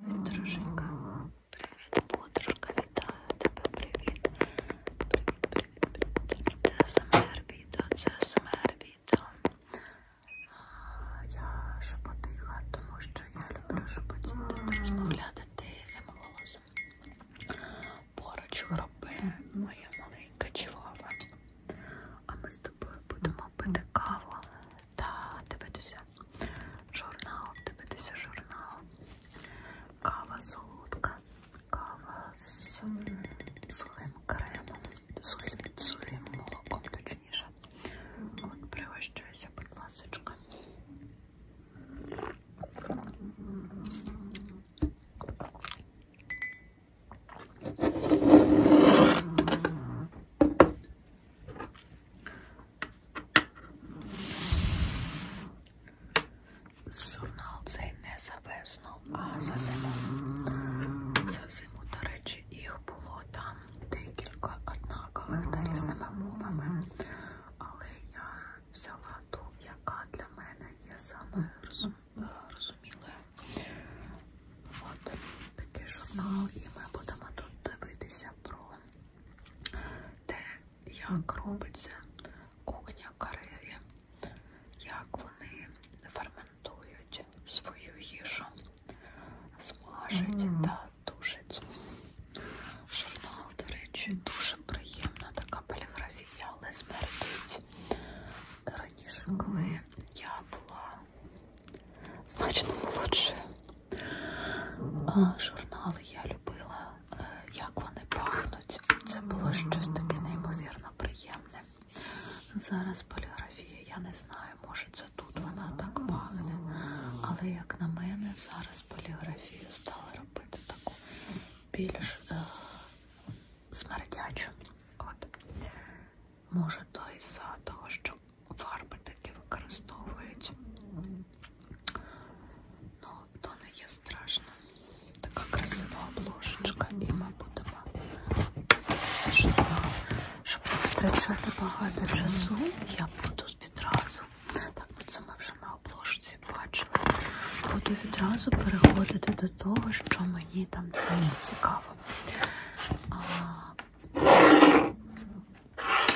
Привіт, друженька. Привіт, подружка, вітаю тебе, привіт. Привіт, привіт, Це СМР відео, це СМР відео. Я шепотиха, тому що я люблю шепотіти, розмовляти тихим голосом. Поруч хропи моя маленька чувава. А ми з тобою будемо пити каву та дивитися журнал, дивитися журнал, кава солодка, кава з сухим кремом, сухим, сухим молоком, точніше. От пригощуюся, будь ласочка. Журнал цей не за весну, а за зиму. За зиму, до речі, їх було там декілька однакових та різними мовами. Але я взяла ту, яка для мене є самою розумілою. От такий журнал, і ми будемо тут дивитися дізнаєтеся про те, як робиться кухня Карелі, як вони ферментують свою їжу, смажать mm -hmm. та тушать. Журнал, до речі, дуже приємна така поліграфія, але смердить. Раніше, коли я була значно молодше. Журнали я любила, е, як вони пахнуть. Це було щось таке неймовірно приємне. Зараз поліграфія, я не знаю, може це тут вона так пахне. Але, як на мене, зараз поліграфію стали робити таку більш е смердячу. От. Може, то із-за того, що фарби такі використовують. Ну, то не є страшно. Така красива обложечка, і ми будемо дивитися, щоб, щоб не втрачати багато часу. Я буду відразу. Так, ну це ми вже на обложці бачили. Буду відразу переходити до того, що мені там самі цікаво.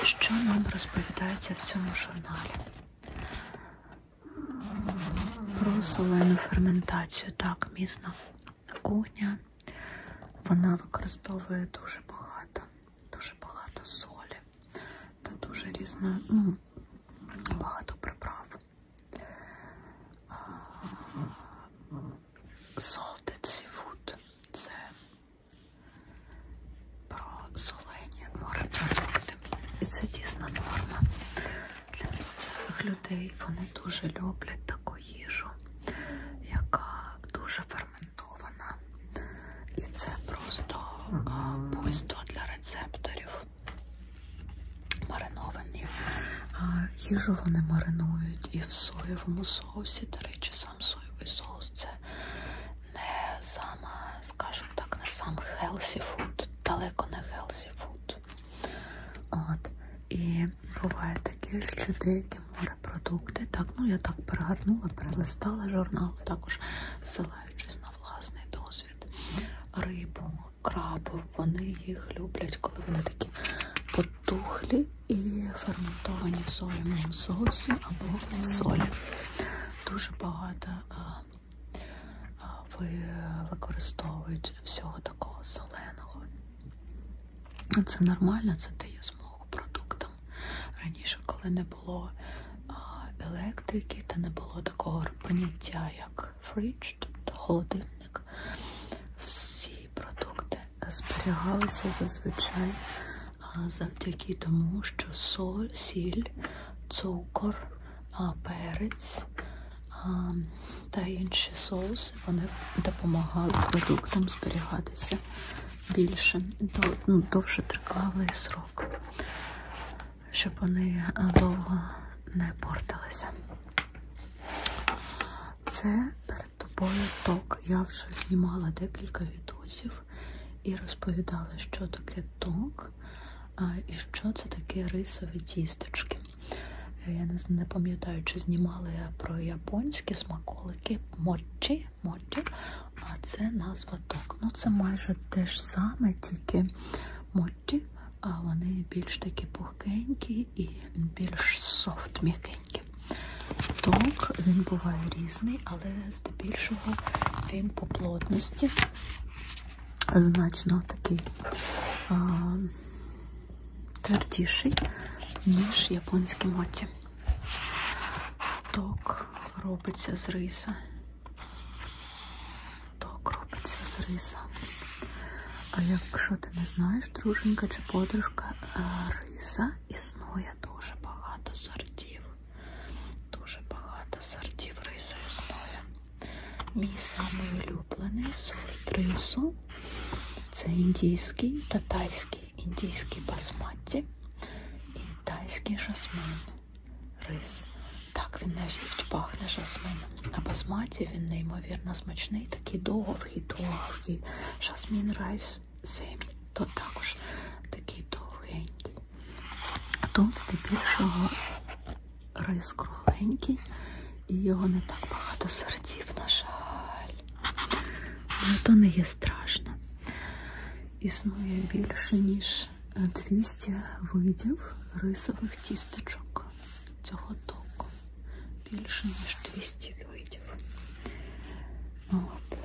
Що нам розповідається в цьому журналі? Про солену ферментацію. Так, місна кухня. Вона використовує дуже багато, дуже багато солі та дуже різно, ну, багато приправ. Salted Seafood – це про солені морепродукти. І це дійсно норма для місцевих людей. Вони дуже люблять таку їжу, яка дуже ферментована. І це просто пусто для рецепторів. Мариновані. Їжу вони маринують і в соєвому соусі, до речі, сам соєвий соус це не сама, скажімо так, не сам healthy food, далеко не healthy food. От. І буває таке, що деякі морепродукти, так, ну я так перегорнула, перелистала журнал, також ссилаючись на власний досвід, рибу, крабу, вони їх люблять, коли вони такі тухлі і ферментовані в соєвому соусі або солі. Дуже багато е, е, ви використовують всього такого соленого. Це нормально, це дає змогу продуктам. Раніше, коли не було е, електрики, та не було такого поняття, як фрідж, тобто холодильник, всі продукти зберігалися зазвичай завдяки тому, що соль, сіль, цукор, перець та інші соуси вони допомагали продуктам зберігатися більше, ну, довше тривалий срок, щоб вони довго не портилися. Це перед тобою ток. Я вже знімала декілька відосів і розповідала, що таке ток і що це таке рисові тісточки. Е, я не, не пам'ятаю, чи знімала я про японські смаколики мочі, мочі, а це назва ток. Ну, це майже те ж саме, тільки мочі, а вони більш такі пухкенькі і більш софт-м'якенькі років. Тонк він буває різний, але здебільшого він по плотності значно такий а, твердіший, ніж японські моті. Ток робиться з риса. Ток робиться з риса. А якщо ти не знаєш, знаєш, друженька чи подружка е, риса існує дуже багато сортів. Дуже багато сортів риса існує. Мій самий улюблений сорт рису це індійський та тайський, індійський басматті і тайський жасмин. Рис. Так, він навіть пахне жасмином. На басматі він неймовірно смачний такі довгі, довгі. Жасмін Райс 7, то також такий довгенький. Тут здебільшого рис кругленький, і його не так багато серців, на жаль. Але то не є страшно. Існує більше, ніж 200 видів рисових тістечок цього току більше ніж 200 видів. От.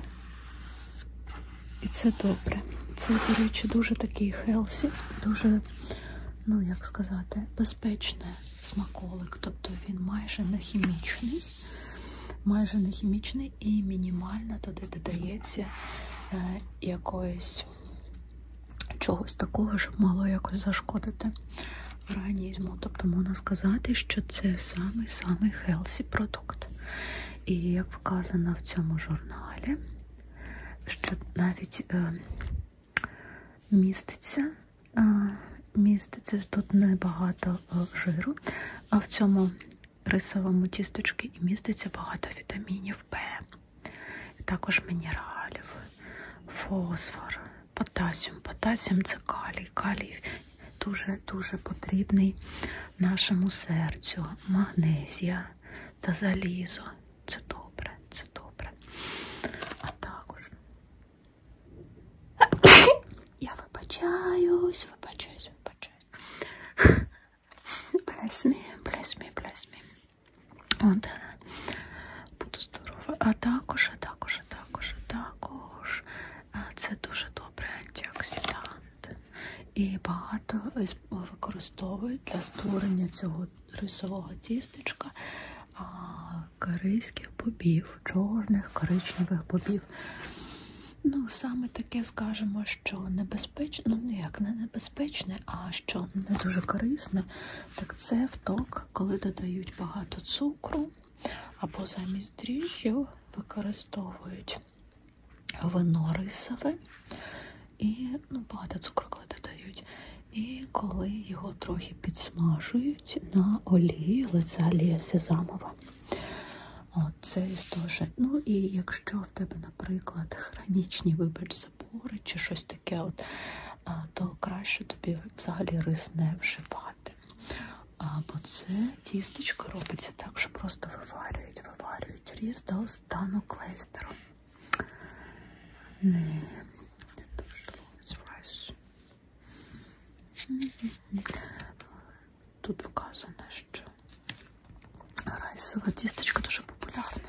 І це добре. Це, до речі, дуже такий хелсі, дуже, ну як сказати, безпечний смаколик. Тобто він майже не хімічний, майже не хімічний і мінімально туди додається е, якоїсь чогось такого, щоб могло якось зашкодити в організму. Тобто можна сказати, що це самий-самий хелсі продукт. І як вказано в цьому журналі, що навіть е, міститься, е, міститься тут небагато е, жиру, а в цьому рисовому тісточці і міститься багато вітамінів В, також мінералів, фосфор потасіум. Потасіум це калій. Калій дуже-дуже потрібний нашому серцю. Магнезія та залізо. Це добре, це добре. А також я вибачаюсь, вибачаюсь, вибачаюсь. Bless me, bless me, bless me. От. Буду здорова. А також, а також, а також, а також. Це дуже добрий антиоксидант. І багато використовують для створення цього рисового тістечка корейських бобів, чорних коричневих бобів. Ну, саме таке скажемо, що небезпечне, ну, як не небезпечне, а що не дуже корисне, так це вток, коли додають багато цукру або замість дріжджів використовують вино рисове і ну, багато цукру коли додають. І коли його трохи підсмажують на олії, але це олія сезамова. От, це історія. Ну і якщо в тебе, наприклад, хронічні, вибач забори чи щось таке, от, то краще тобі взагалі рис не вживати. Бо це тістечко робиться так, що просто виварюють, виварюють різ до стану клейстеру. Не, не дуже райс. Тут вказано, що райсове тістечко дуже популярне.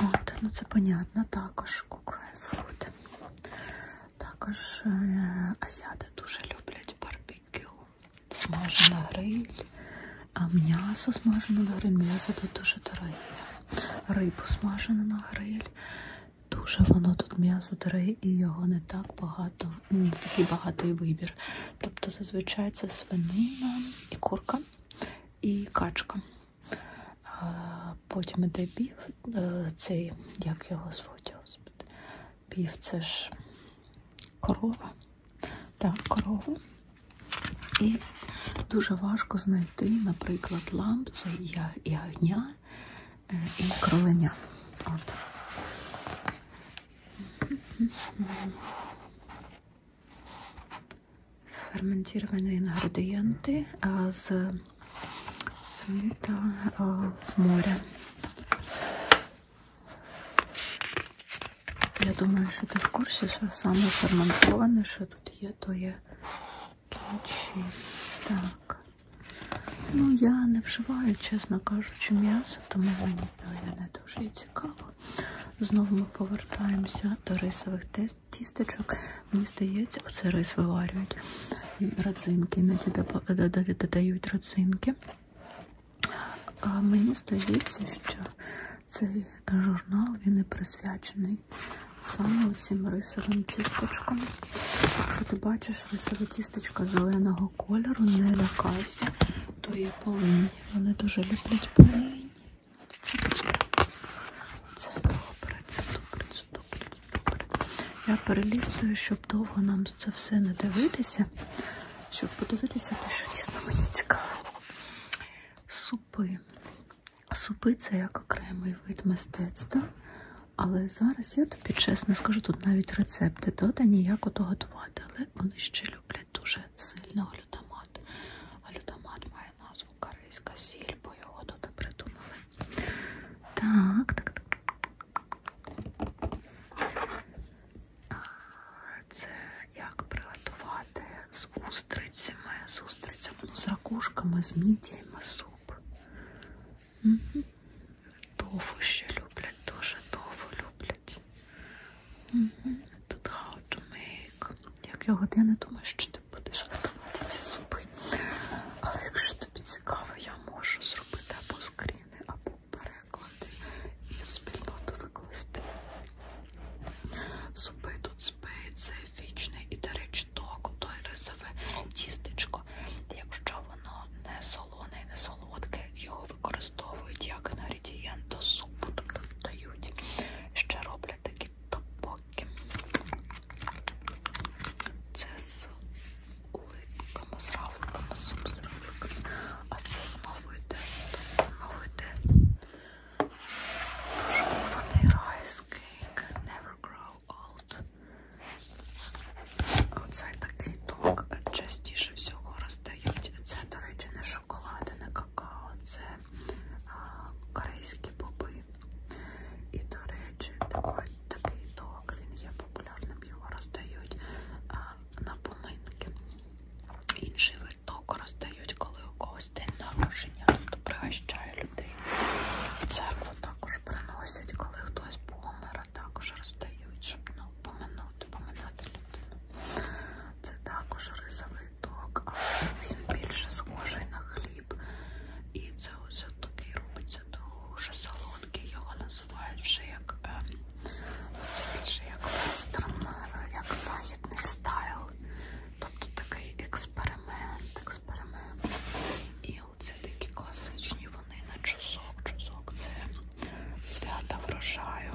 От, ну це понятно, також крайфуд. Також е азіати дуже люблять барбекю. Смажена гриль, а м'ясо смажене на гриль, м'ясо тут дуже дороге. Рибу смажену на гриль. Дуже воно тут м'ясо дороге і його не так багато, ну, не такий багатий вибір. Тобто зазвичай це свинина і курка і качка. Потім іде пів, е, цей, як його звуть, господи, пів це ж корова. Так, корова. І дуже важко знайти, наприклад, лампце, ягня е, і кроленя. От ферментировані інгредієнти з сміта моря. Я думаю, що ти в курсі, що саме ферментоване, що тут є, то є кінчі. Так. Ну, я не вживаю, чесно кажучи, м'ясо, тому мені то я не дуже цікаво. Знову ми повертаємося до рисових тестів тістечок. Мені здається, оце рис виварюють. Родзинки, іноді додають родзинки. А Мені здається, що цей журнал він і присвячений саме цим рисовим тісточкам. Якщо ти бачиш рисове тісточка зеленого кольору, не лякайся, то є полинь. Вони дуже люблять полинь. Це добре. Це добре, це добре, це добре, це добре. Я перелістую, щоб довго нам це все не дивитися. Щоб подивитися, те, що дійсно мені цікаво. Супи. Супи це як окремий вид мистецтва. Але зараз я тобі чесно скажу, тут навіть рецепти додані, як ото готувати, але вони ще люблять дуже сильно глютамат глютамат. Глютамат має назву корейська сіль, бо його тут придумали. Так, так. Це як приготувати з устрицями, з устрицями, ну, з ракушками, з мідіями суп. Угу. Тофу ще люблять, дуже тофу люблять. Угу. Тут how to make. Як його я не думаю, що ти будеш готувати ці зуби. Але якщо тобі цікаво, я можу зробити або скріни, або переклади і в спільноту викласти. Зуби тут спиться, вічний і, до речі, ток, той рисове тістечко. Якщо воно не солоне і не солодке, його використовують як інгредієнт до супу, дають. Ще роблять такі топокі. Це з улитками, з равликами, суп з равликами. А це знову йде, знову йде. Тушкований райс кейк. Never grow old. Оцей такий ток частіше всього роздають. Це, до речі, не шоколад, не какао. Це корейські боби. І, до речі, такий ток, він є популярним, його роздають на поминки. Інший вид току роздають, коли у когось день народження, тобто пригощає людей. В церкву також приносять, коли хтось помер, також роздають, щоб ну, поминути, поминати людину. Це також рисовий квиток, але він більше схожий на хліб. І це ось такий робиться дуже солодкий. Його називають вже як е, це більше як вестерн, як західний стайл. Тобто такий експеримент, експеримент. І оце такі класичні вони на чусок. Чусок це свята врожаю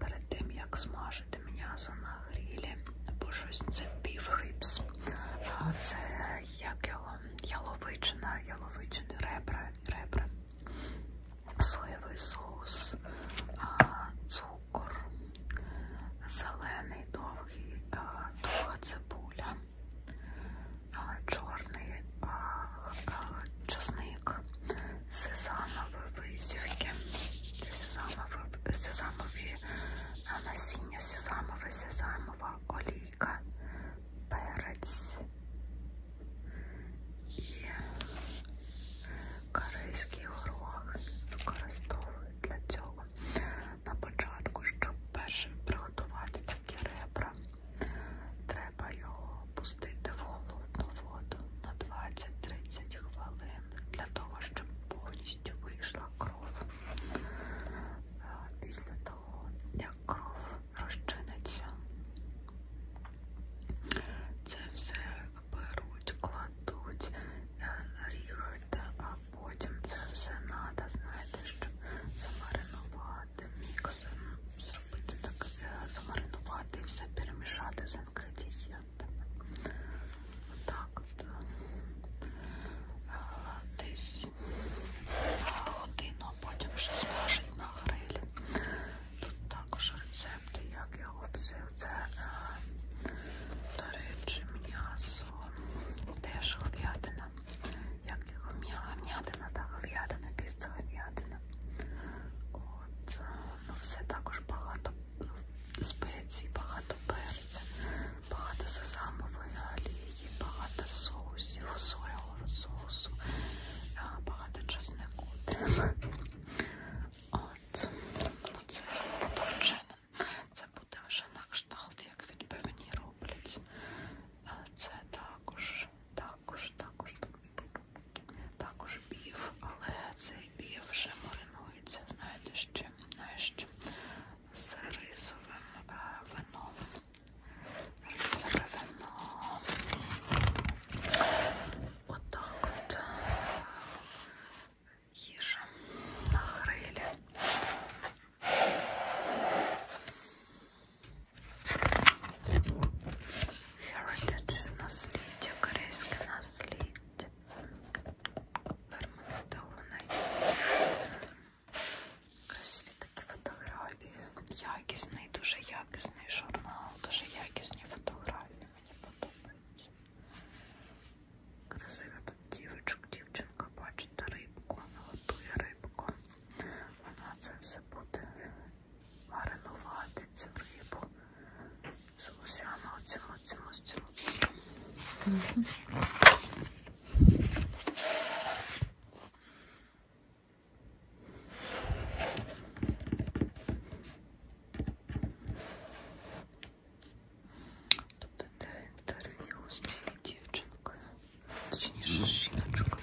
перед тим, як смажити м'ясо на грілі, або щось це піврипс. Це як його яловичина, яловичини ребра, ребра, соєвий соус, цукор, зелений довгий, довга цибуля, чорний часник. This is all my verb сівки. This is all my verb. Сезамові насіння, сезамове, сезамова олійка, перець і корейський горох використовують для цього. На початку, щоб перше приготувати такі ребра, треба його опустити в холодну воду на 20-30 хвилин для того, щоб повністю вийшла кров. Після того, як кров розчиниться, це все беруть, кладуть, е, ріжуть, а потім це все треба, знаєте, щоб замаринувати міксом зробити так, е, замаринувати і все перемішати з інгредієнтами. Отак от. Е, е, десь годину, а потім вже смажить на грилі. Тут також рецепти, як його все. Це, до речі, м'ясо, теж гов'ядина. Як його м'ятина, та гов'ядина, півця гов'ядина. От. Ну, все також багато ну, спецій, багато перця, багато сезамової олії, багато соусів, соєвого соусу, багато чеснику. От, ну, це буде вчене. Це буде вже на кшталт, як від певні роблять. Це також також, також, також бів, але цей бів вже маринується, знаєте, ще, ще з рисовим е, вином. Рисове вино. Отак от, от е, їжа на грилі. Heritage насліддя, корейське насліддя. Ферментоване. Красиві такі фотографії. Якісний, дуже якісний журнал, дуже якісні фотографії. Мені подобається. Красива тут дівчинка, дівчинка бачить рибку, вона готує рибку. Вона це все буде маринувати цю рибу. З усями оцьому, оцьому, оцьому всьому. Угу. Тут іде інтерв'ю з цією дівчинкою, точніше жіночкою.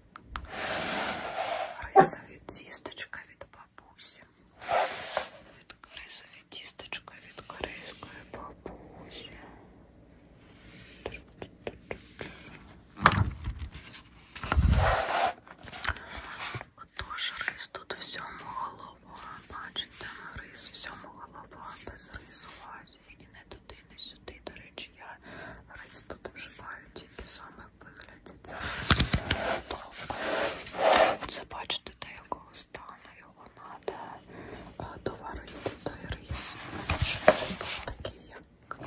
Рисові тістечка від бабусі. Від рисові тістечка від корейської бабусі. Отож, рис тут всьому голова. Бачите, рис всьому голова, без рису в Азії. І не туди, не сюди. До речі, я рис тут вживаю тільки саме вигляді Це бачите, до якого стану його е, треба доварити той рис, щоб він був такий, як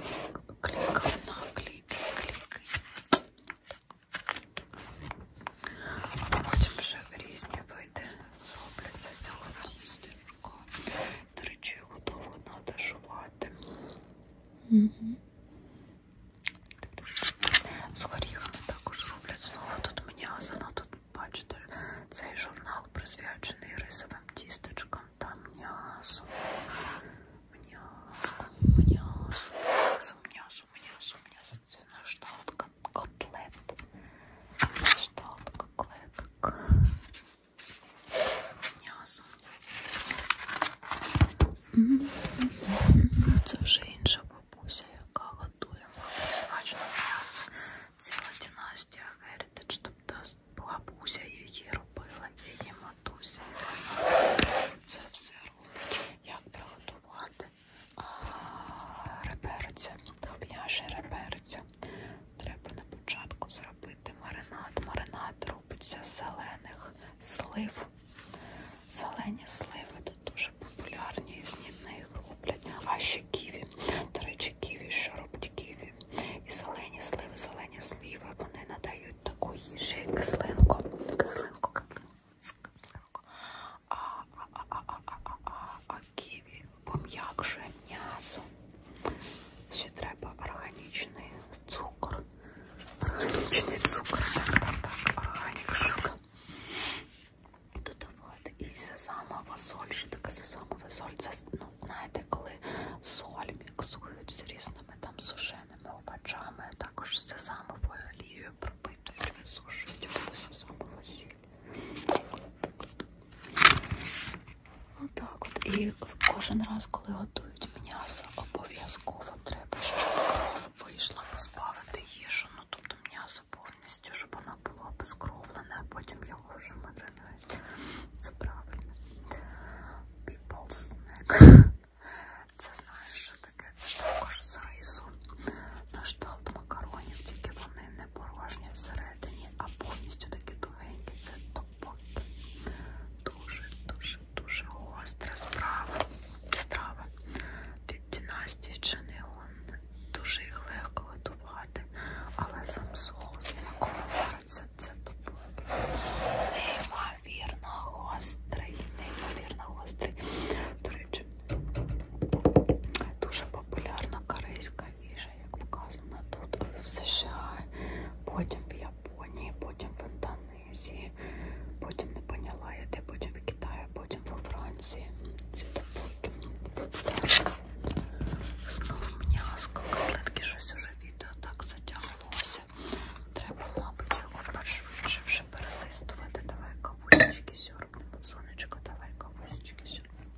клікав на клік, клік. А потім вже різні види робляться цього тістечко. До речі, його довго надо жувати. Угу. З горіхами також зроблять знову. Тут мені ну, азана, тут бачите, цей журнал присвячений рисовим тістечкам та м'ясу. М'ясо, м'ясо, м'ясо, м'ясо, м'ясо, м'ясо. Це нашталка котлет. Нашталка котлетка м'ясо. Це вже інша бабуся, яка готує мабуть, смачне м'ясо. Ціла династія Heritage, тобто бабуся її робила, її матуся. Це все робить, як приготувати реберця, тоб'яше реберця. Треба на початку зробити робити маринад. Маринад робиться з зелених слив. Зелені сливи тут дуже популярні, з них роблять. А ще ківі. До речі, ківі, що робить ківі. І зелені сливи, зелені сливи, вони надають таку їжу, як кислинку. Кислинку, кислинку. А, а, а, а, а, а, а, а, а ківі пом'якшує м'ясо. Ще треба органічний цукор. Органічний цукор. Так, так, так, органік шука. Додавати і сезамова соль. Що таке сезамова соль? Це, ну, знаєте, коли соль міксують з різними там сушеними овочами, також з сезамовою олією пропитують, висушують буде сезамова сіль. Отак от. І кожен раз, коли готують м'ясо, обов'язково треба, щоб кров вийшла позбавити їжу. Ну тобто м'ясо повністю, щоб воно було обезкровлене, а потім його вже маринують. Це правильно. People snack. Це знаєш, що таке? Це також з рису. На штат макаронів, тільки вони не порожні всередині, а повністю такі тугенькі. Це Бот. Дуже-дуже-дуже гостра справа. страва від династії Ченеон. Дуже їх легко готувати, але сам соус, на кого вариться, це топ. Неймовірно гострий, неймовірно гострий. До речі, дуже популярна корейська найцікавіше, як показано тут в США, потім в Японії, потім в Індонезії, потім не поняла я де, потім в Китаї, потім во Франції. Це Знову мені котлетки, щось уже відео так затягнулося. Треба, мабуть, його пошвидше вже перелистувати. Давай кавусечки сьорбнемо. Сонечко, давай кавусечки сьорбнемо.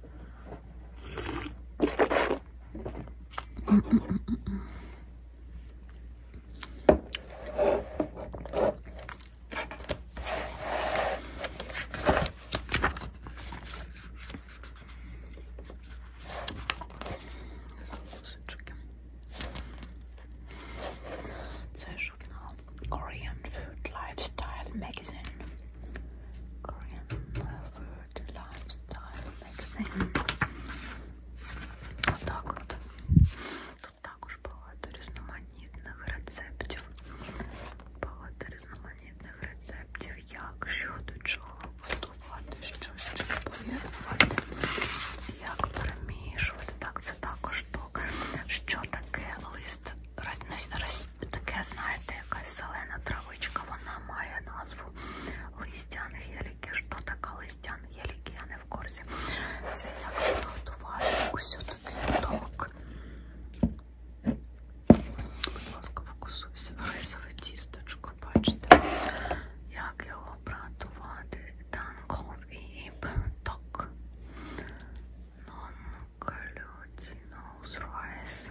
It's a Korean food lifestyle magazine. Korean uh, food good lifestyle magazine. Отак от. Тут також багато різноманітних рецептів. Багато різноманітних рецептів, як що до чого готувати, що ще поєднувати, як перемішувати. Так, це також ток. Що таке лист? Роз... Роз... Таке, знаєте, якась зелена травичка, вона має назву листя ангеліки. Що таке листя ангеліки? Я не в курсі. Це як приготувати усю такий роток. Будь ласка, фокусуйся. Рисове тісточко, бачите, як його приготувати. Танговіб ток. Non-gluttinous rice.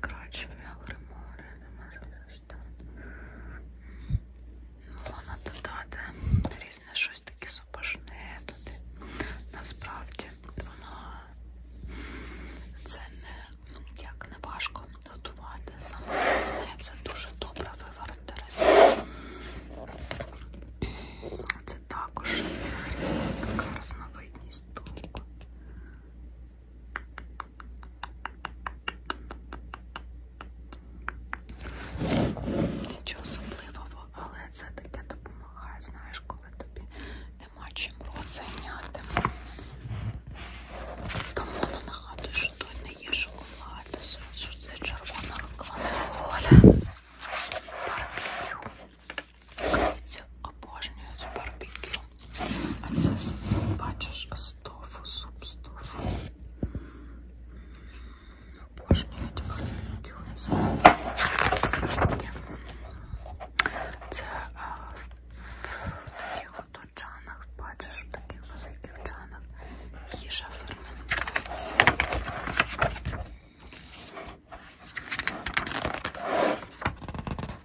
Коротше, мягре море, не можу Ну, Воно додати різне щось таке супашне туди. Насправді воно це не як не важко готувати. Саме головне це дуже добре виварити ресурс. Це також така різновидність толку. Нічого особливого, але це таке допомагає, знаєш, коли тобі нема чим рот зайняти. Тому ну, нагадую, що тут не є шоколад, що це червона квасоля. барбекю. Дивіться, обожнюю барбекю. А це бачиш стофу, суп стофу. Обожнюють барбекю. Це а, в, в таких от чанах, бачиш, в таких великих чанах їжа ферментується.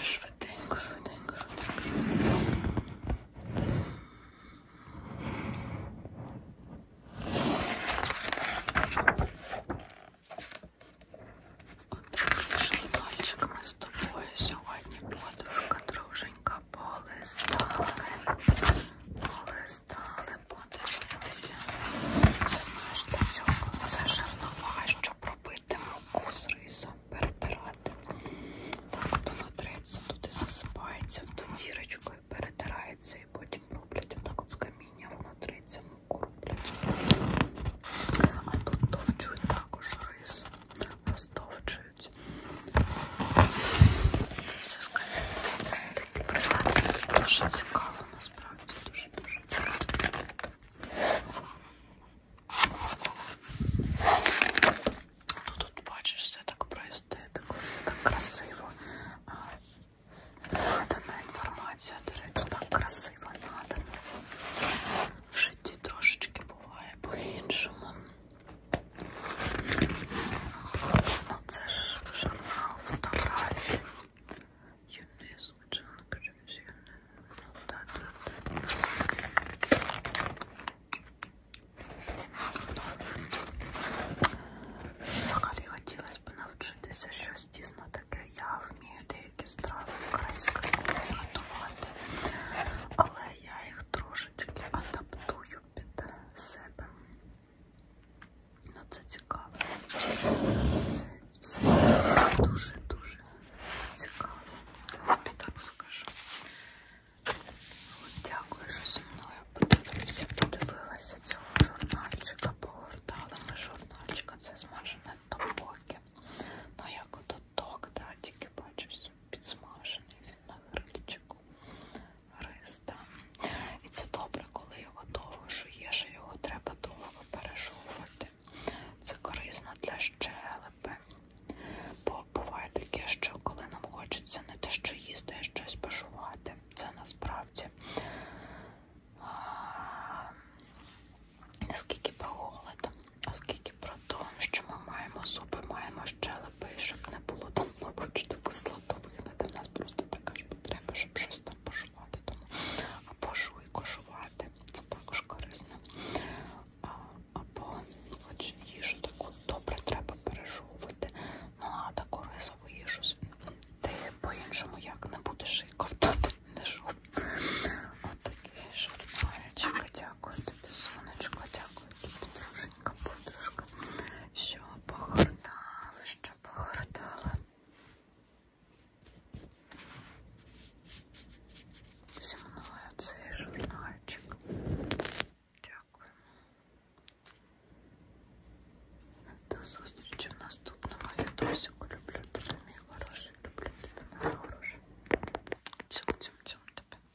Швиденько, швиденько, швиденько. Отакий пальчик ми з тобою сьогодні, подружка, друженька, полистали, полистали коли подивилися, це знаєш для чого? Це жернова, щоб робити муку з рисом, перетирати. Так, то натреться, туди засипається, в ту дірочку і перетирається, і потім роблять отак от з каміння, воно триться, муку роблять. А тут товчуть також рис, розтовчують. Це все з каміння. Такі прилади дуже цікаво насправді дуже-дуже. Тут, тут бачиш, все так про естетику, все так красиво. Надана інформація, до речі, так красиво надана. В житті трошечки буває по-іншому. Ну, це ж журнал фотографії yönünü sonucunun kırmızı yönünü noktadan Взагалі хотілося б навчитися щось дійсно таке. Я вмію деякі страви української кухні готувати, але я їх трошечки адаптую під себе. Ну це цікаво. Це все дуже-дуже цікаво. Тобі так скажу. От дякую, що зі мною подивився, подивилася цього журнальчика, погортала ми журнальчика, це змажене топоки. Ну як ототок, да, тільки бачу, підсмажений він на грильчику риста. І це добре, коли його довго жуєш, його треба довго пережовувати. Це корисно для щелепи. Бо буває таке, що коли нам хочеться не те, що їсти, а щось пожувати. Це насправді а, не скільки про голод, а скільки про те, що ми маємо зуби, маємо щелепи, щоб не було там молочного кисла готовити. В нас просто така ж потреба, щоб щось там пошувати. Тому або жуй кошувати, це також корисно. А, або хоч їжу таку добре треба пережовувати. Ну а таку рисову їжу ти по-іншому як не будеш і ковтати не жов. Отакий шармаречка, дякую тобі, сонечко, дякую тобі, друженька, подружка, що погортав що погортала. Зі мною цей журнальчик. Дякую. До зустрічі в наступному відосику. Люблю тебе, мій хороший. Люблю тебе, мій хороший. Цьом-цьом-цьом тебе.